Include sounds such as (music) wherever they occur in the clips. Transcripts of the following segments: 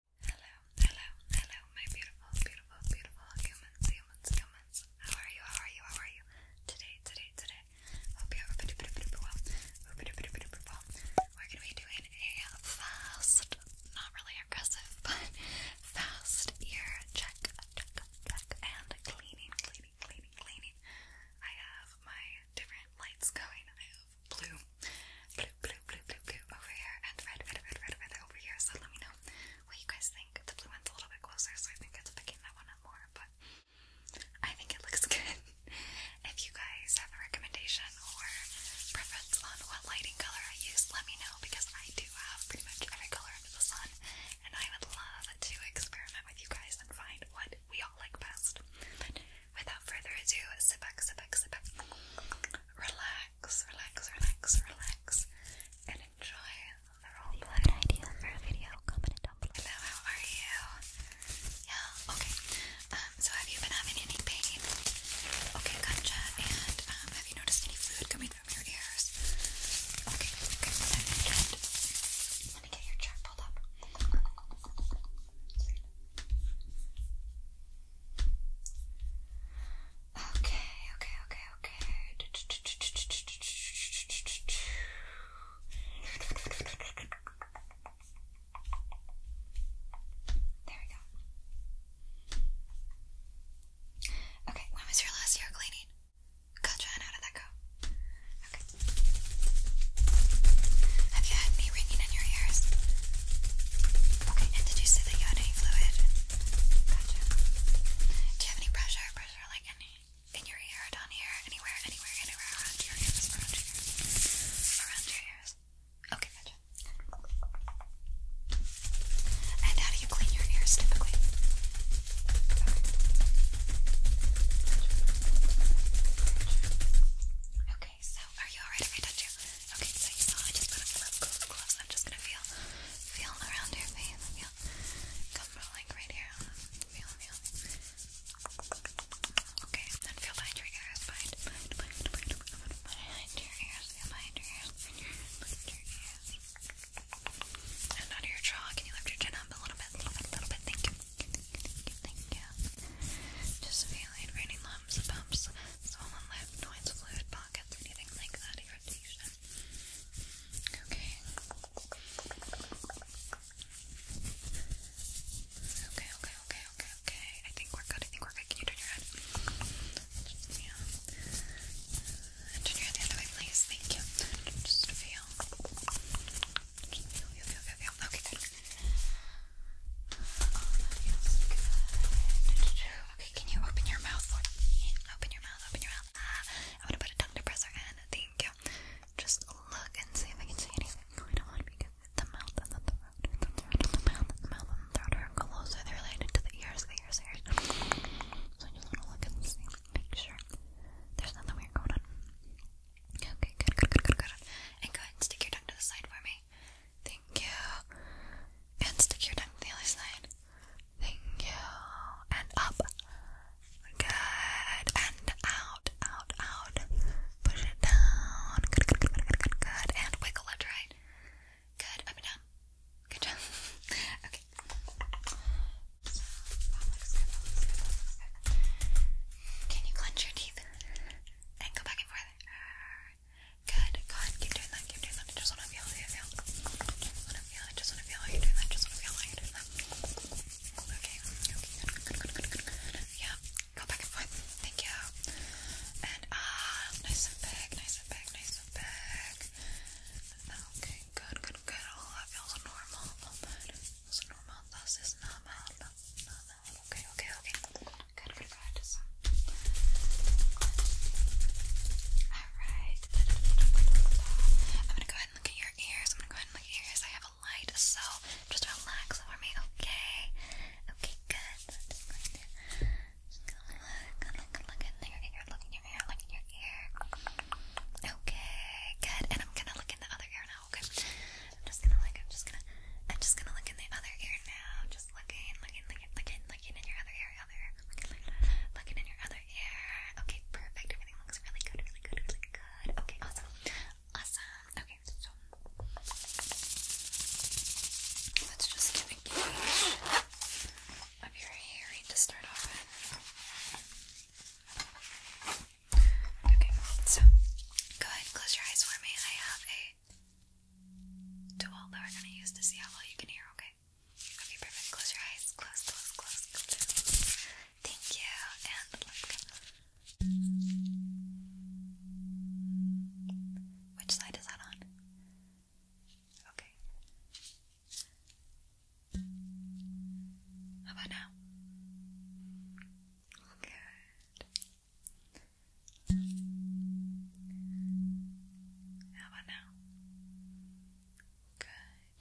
Hello, hello, hello, my beautiful, beautiful, beautiful humans, humans, humans. How are you? How are you? How are you? Today, today, today. Hope you're well. We're gonna be doing a fast, not really aggressive, (laughs) but fast ear check, check, check, and cleaning, cleaning, cleaning, cleaning. I have my different lights going of blue. Blue, blue, blue, blue, blue over here, and red, red, red, red, red over here. So let me know what you guys think. The blue one's a little bit closer, so I think it's picking that one up more, but I think it looks (laughs) good. if you guys have a recommendation or preference on what lighting color I use, let me know because I do have pretty much every color under the sun, and I would love to experiment with you guys and find what we all like best. But without further ado, sit back, sit back, sit back, relax relax, relax, relax, relax, and enjoy the roleplay. idea for a video, comment it down below. Hello, how are you? Yeah, okay. Um, so have you been having any pain? Okay, gotcha. And um, have you noticed any fluid coming from your ears? Okay, okay. I'm get your chart pulled up. Okay, okay, okay, okay. There we go. Okay, when was your last year cleaning? Gotcha, how did that go? Okay. Have you had any ringing in your ears? Okay, and did you say that you had any fluid? Gotcha. Do you have any pressure? Pressure like any in your ear, down here, anywhere, anywhere, anywhere around your ears, around your ears, Okay, gotcha. And how do you clean your ears typically? Okay, so are you alright if I Okay, so I just put on gloves, gloves, gloves. I'm just gonna feel, feel around your Feel, come like right here. Feel, feel. Okay, then feel behind your ears. Behind, behind, behind, behind, your ears. behind your ears. Behind your ears. And out your jaw. Can you lift your chin up A little bit. A little bit. Thank you. Thank you. Thank you. Just feel feeling, any lumps, bumps, swollen lip, noise, fluid pockets, anything like that, irritation. Okay. Okay, okay, okay, okay, I think we're good. I think we're good. Can you your head? Yeah. Turn your head the other way, please. Thank you. Just feel. Just feel, feel, feel, feel. Okay, good that feels good. Okay, can you open your mouth for me? Open your mouth, open your mouth. Ah, I'm gonna put a tongue depressor in. Thank you. Just look and see if I can see anything going on because the mouth and the throat, the throat and the mouth, and the mouth and the throat are closer. They're related to the ears, the ears, the ears. So I just wanna look and see, make sure there's nothing weird going on. Okay, good, good, good, good, good. And go ahead and stick your tongue to the side for me. Thank you. And stick your tongue the other side. Thank you. And up. Good. And out, out, out. Push it down. Good, good, good, good, good, And wiggle left, right. Good. Up and down. Good job. (laughs) okay. Can you clench your teeth and go back and forth? Good, good. Keep doing that, keep doing that. I just want to feel how feel. I just want to feel, I just want to feel how you that. just want to feel how you that. Okay, okay, good, good, good, good, good. Yeah, go back and forth. Thank you. And ah, nice and big, nice and big, nice and big. Okay, good, good, good. Oh, that feels normal. feels normal. This is normal. Normal. Okay, okay, okay. Good, alright. I'm gonna go ahead and look at your ears. I'm gonna go ahead and look at your ears. I have a light, so just relax over me, okay? Okay, good. I'm just going to look, look, look in your ear, look in your ear, look in your ear. Okay, good. And I'm gonna look in the other ear now, okay? I'm just gonna like, I'm just gonna, I'm just gonna look in the other ear now. Just looking, looking, looking, looking, looking in your other ear, other, looking, looking, looking in your other ear. Okay, perfect. Everything looks really good, really good, really good. Okay, awesome, awesome. Okay, so let's just give a of your hearing to start off Okay, so go ahead, close your eyes for me. I do all that we're gonna use to see how well you can hear, okay? Okay, perfect. Close your eyes. close, close, close. Thank you. And look. Which side is that on? Okay. How about now? Good. How about now? Good.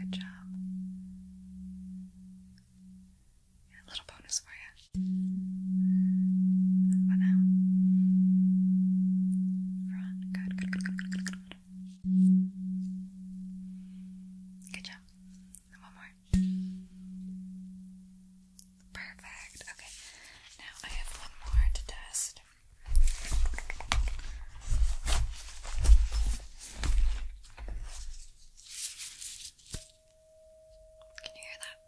Good job. little bonus for you. How about now? Front. Good, good, good, good, good, good, job. one more. Perfect. Okay. Now I have one more to test. Can you hear that?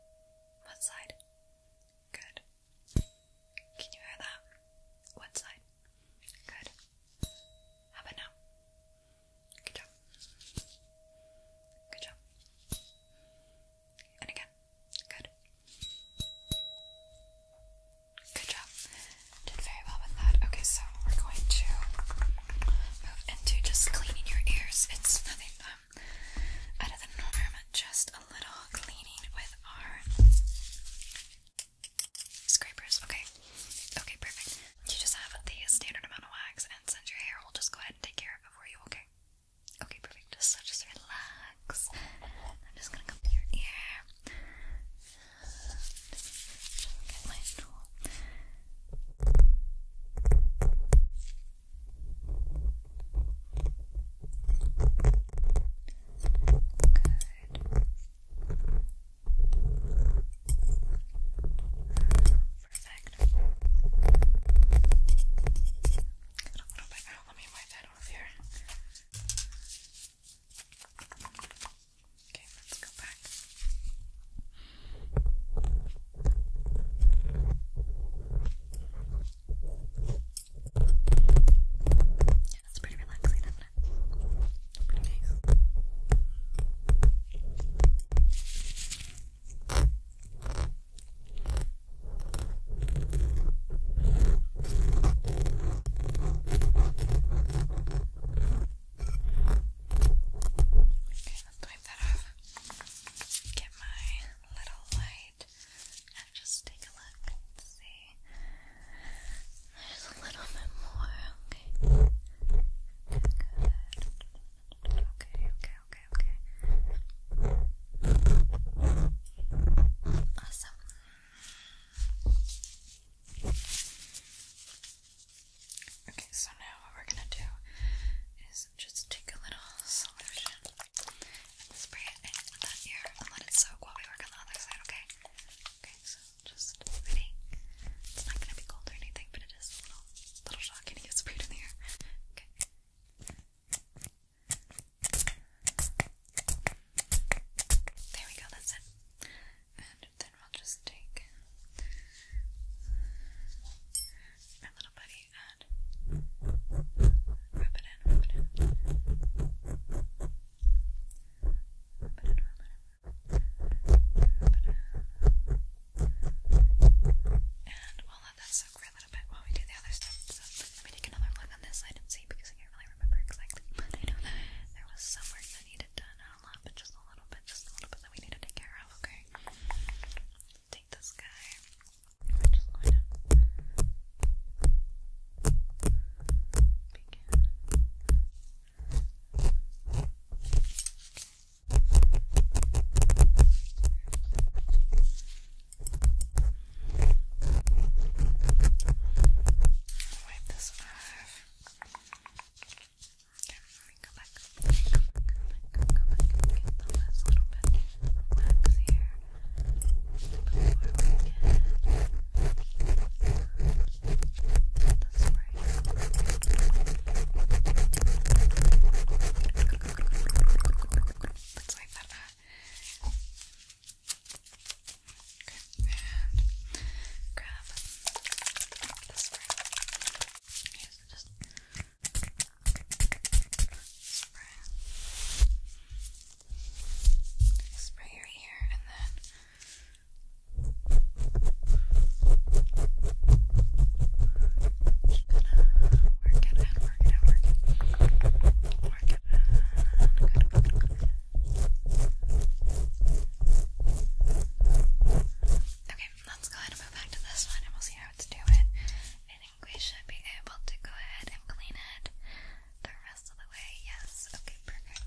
What side? Good. Can you hear that? What side? Good. How about now? Good job. Good job. And again. Good. Good job. Did very well with that. Okay, so we're going to move into just cleaning your ears. It's nothing um out of the norm, just a little cleaning with our scrapers. Okay. Okay, perfect. You just have the standard amount of wax and your hair will just go ahead and take care of it for you, okay? Okay, perfect. So just relax. I'm just gonna come to your ear. Good. Perfect. A little bit. Oh, let me wipe that off here. Okay, let's go back. Yeah, that's pretty relaxing, Pretty nice let's wipe that off. Get my little light and just take a look and see. There's a little bit more, okay. Good. Okay, okay, okay, okay. Awesome. Okay, so now what we're gonna do is just take a little solution spray it in that ear and let it soak while we work on the other side, okay? Okay, so just ready. It's not gonna be cold or anything, but it Oh, little, little shocking to get sprayed in There we go, that's it. And then we'll just take our little buddy Rub it in, rub it in. Rub it in. Rub it in. And we'll let that soak for a little bit while we do the other stuff. So let me take another look on this and see because I can't really remember exactly. (laughs) I know there was some work that needed done. a lot, but just a little bit, just a little bit that we need to take care of, okay? Take this guy. We're just going to begin. Wipe this off. Okay, let me go back, go back, go back, go back, get the last little bit wax here before we get the spray. Let's wipe that Okay, and grab this spray. Yes, just spray. Spray your ear and then work it Okay, let's go ahead and move back to this one and we'll see how it's doing. I think we should be able to go ahead and clean it the rest of the way. Yes, okay, perfect.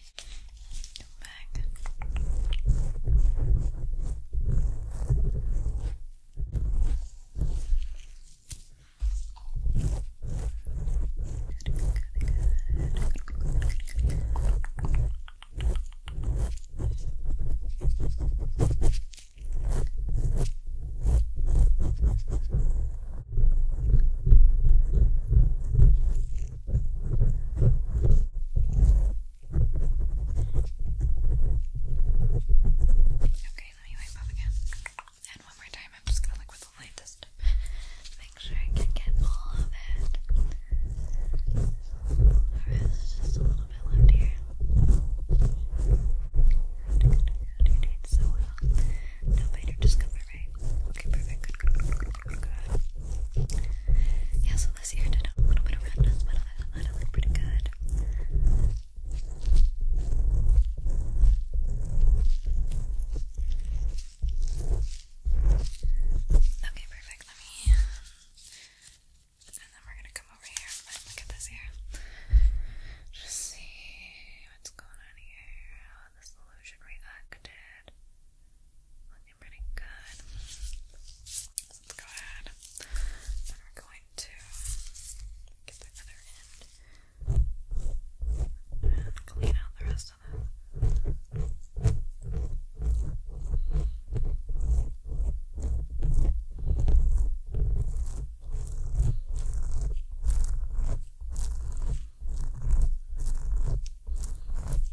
Come back. Good, good, good, good, good, good. Good. Okay, let me wipe up again. And one more time, I'm just gonna look with the light Make sure I can get all of it. there's just a little bit left here. you doing so well. Uh, now, later, just cover Okay, perfect. Yeah, so this ear did a little bit of redness, but it looked pretty good. Okay, perfect. Let me. And then we're gonna come over here and look at this ear. Just see what's going on here, how the solution reacted you good. Let's go ahead and we're going to get the other end and clean out the rest of this.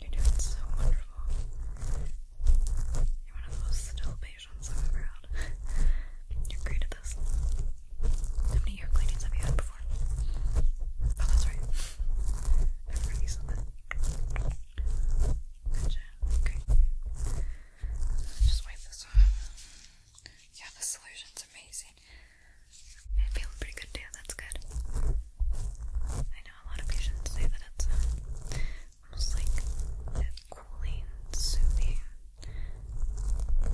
You're doing so wonderful. You're one of the still patients I've ever had. You're this. How many ear cleanings have you had before? Oh, that's right. I forgot you Okay. Just wipe this off. Yeah, the solution's amazing. It feels pretty good too, that's good. I know a lot of patients say that it's uh, almost like cooling, soothing sort of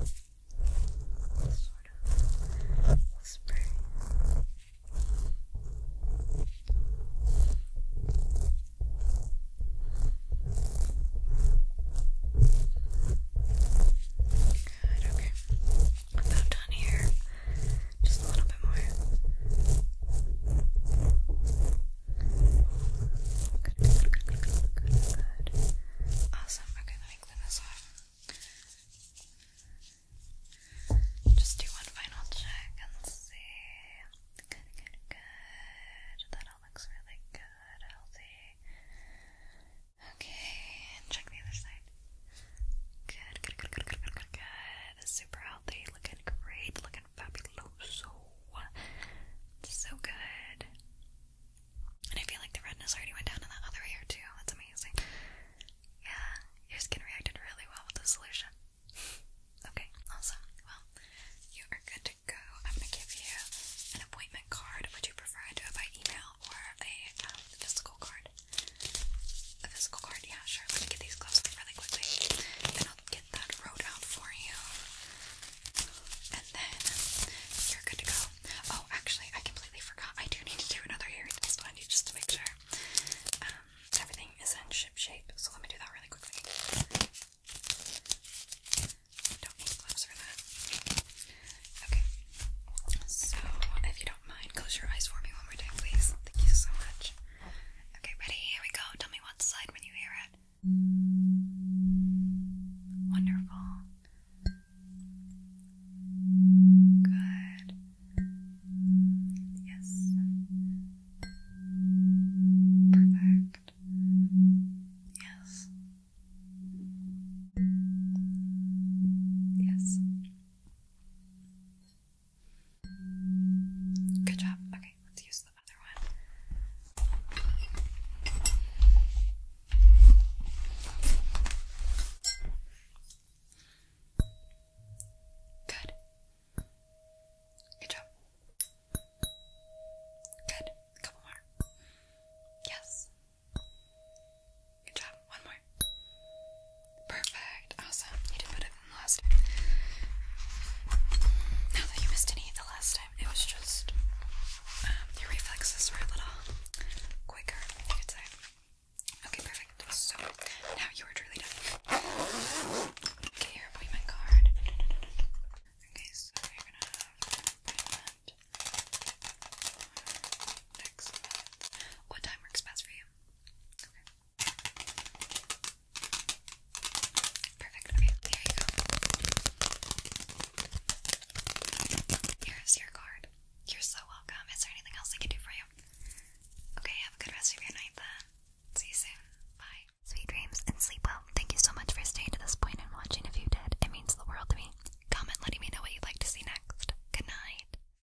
whisper. Good, okay about done here. Just a little bit more. good, good, good, good, good, good. Awesome. Okay, let me clean this off. Just do one final check and see. Good, good, good. That all looks really good, healthy. Okay, and check the other side. Good, good, good, good, good, good, Super healthy, looking great, looking fabuloso. So good. And I feel like the redness already went down in that other ear too. That's amazing. Yeah, your skin reacted really well with the solution. (laughs) okay, awesome. Well, you are good to go. I'm gonna give you an appointment card. Would you prefer to do it by email or a um, physical card? A physical card? Yeah, sure. Let me get these gloves on really quickly. Then I'll get that road out for you. And then you're good to go. Oh, actually, I completely forgot. I do need to do another hearing test on you just to make sure um, everything is in ship shape. So let me do that really quickly. Don't need gloves for that. Okay. So, if you don't mind, close your eyes for me one more time, please. Thank you so much. Okay, ready? Here we go. Tell me what side when you hear it. Wonderful. Good. Yes. Perfect. Yes. Yes. Good job. Okay, let's use the other one. Good. Good job. Good. couple more. Yes. Good job. One more. Perfect. Awesome. You did better than last time. Now that you missed any the last time, it was just um, your reflexes were a little quicker, you could say. Okay, perfect. So now you are truly done. Get your appointment card. Okay, so you're gonna have an appointment next What time works best for you? Perfect. Okay, there you go. Here's your card. You're so welcome. Is there anything else I can do for you? Okay, have a good rest of your night then. See you soon. Bye. Sweet dreams and sleep well. Thank you so much for staying to this point and watching. If you did, it means the world to me. Comment letting me know what you'd like to see next. Good night.